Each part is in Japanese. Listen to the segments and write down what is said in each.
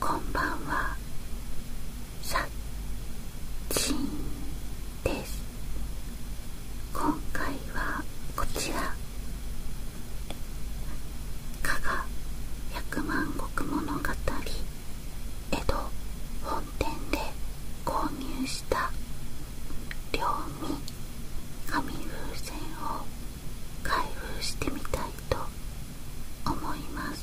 こんばんは今回はこちら加賀百万石物語江戸本本店で購入した両味紙風船を開封してみたいと思います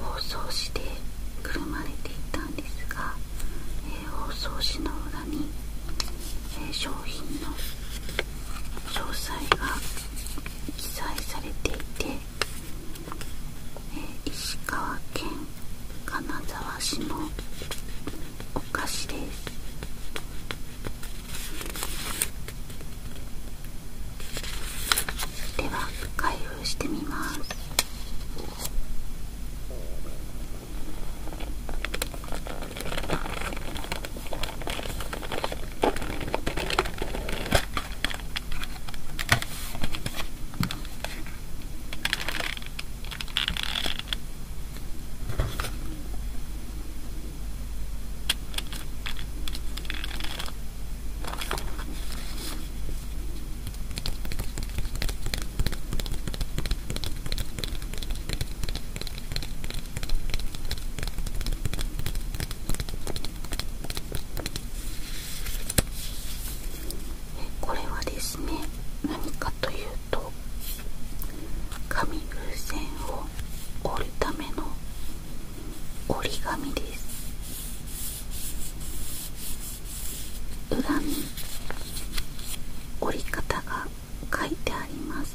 包装紙でくるまれていたんですが、包装紙の裏に、商品の詳細が記載されていて、石川県金沢市のお菓子ですでは開封してみますこれはですね何かという紙風船を折るための折り紙です裏に折り方が書いてあります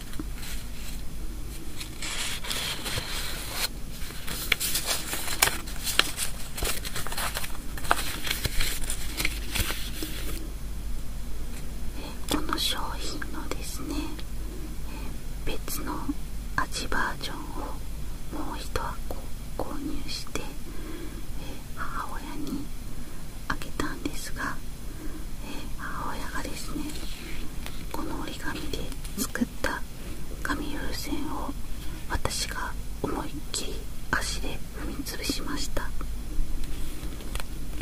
この商品のですね別の味バージョンをもう一箱購入して母親にあけたんですがえ母親がですねこの折り紙で作った紙風船を私が思いっきり足で踏みつぶしましたえ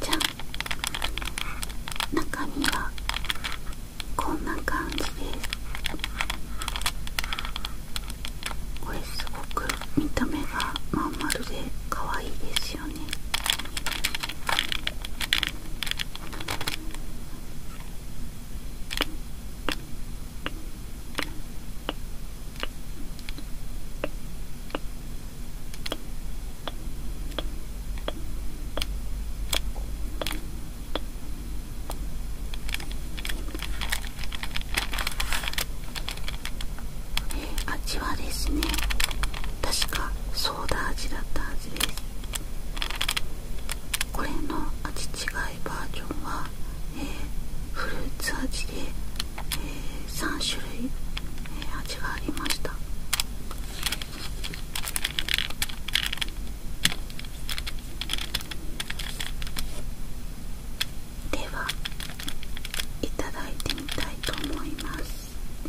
じゃん中身はこんな感じですこれすごく見た目がまん丸で可愛いですよねえ、味はですね確かソーダ味だったはずですこれの味違いバージョンは、えフルーツ味で、え3種類、え味がありましたではいただいてみたいと思いますこ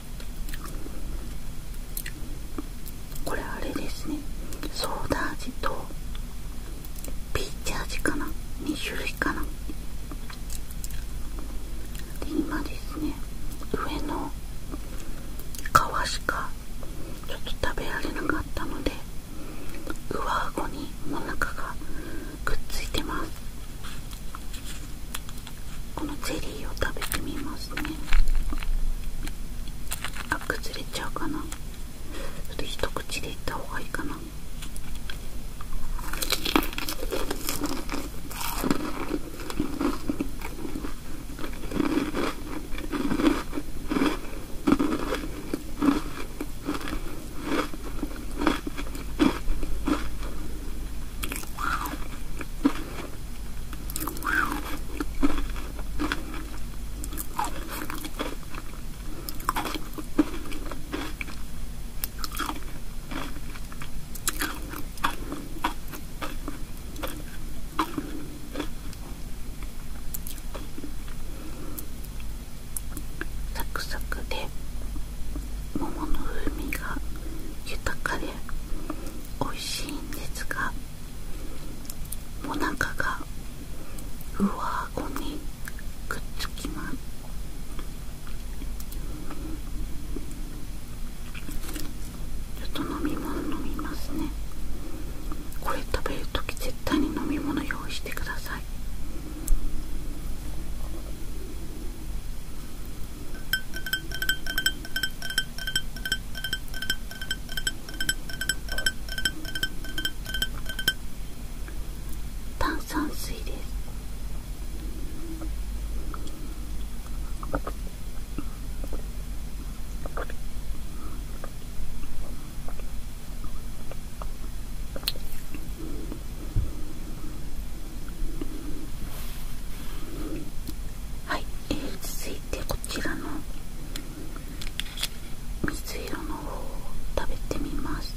これあれですねソーダ味とピーチ味かな2種類かなで今ですね上の皮しかちょっと食べられなかったので上顎にもなかがくっついてますこのゼリーを食べてみますねあ崩れちゃうかなちょっと一口でいった方がいいかなサクサクで桃の風味が豊かで美味しいんですがもなかが上顎にくっつきますちょっと飲み物飲みますねこれ食べる時、絶対に飲み物用意してください炭酸水ですはい、続いてこちらの水色の方を食べてみます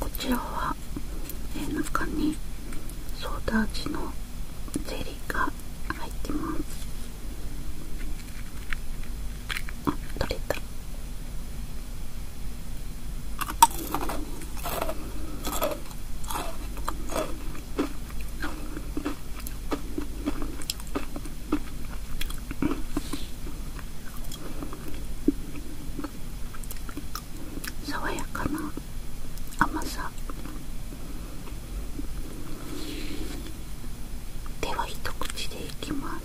こちらは中にソーダ味のゼリーが入ってますあ取れた爽やかな甘さでは一口でいきます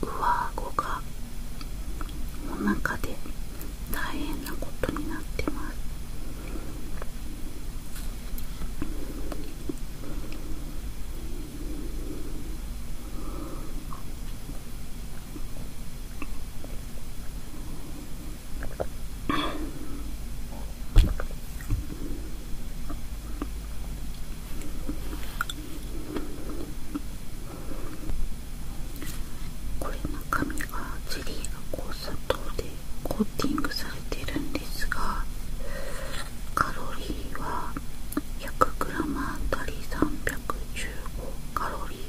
上顎がお腹で大変なことになってますこれ中身がゼリーがこう砂糖でコーティングされてるんですがカロリーは 100g あたり315カロリー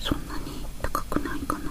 そんなに高くないかな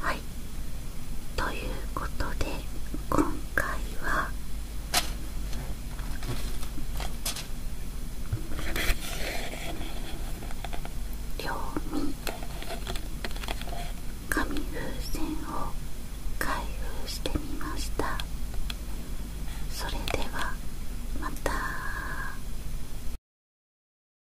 はいということで今回は両耳紙風船を開封してみましたそれではまた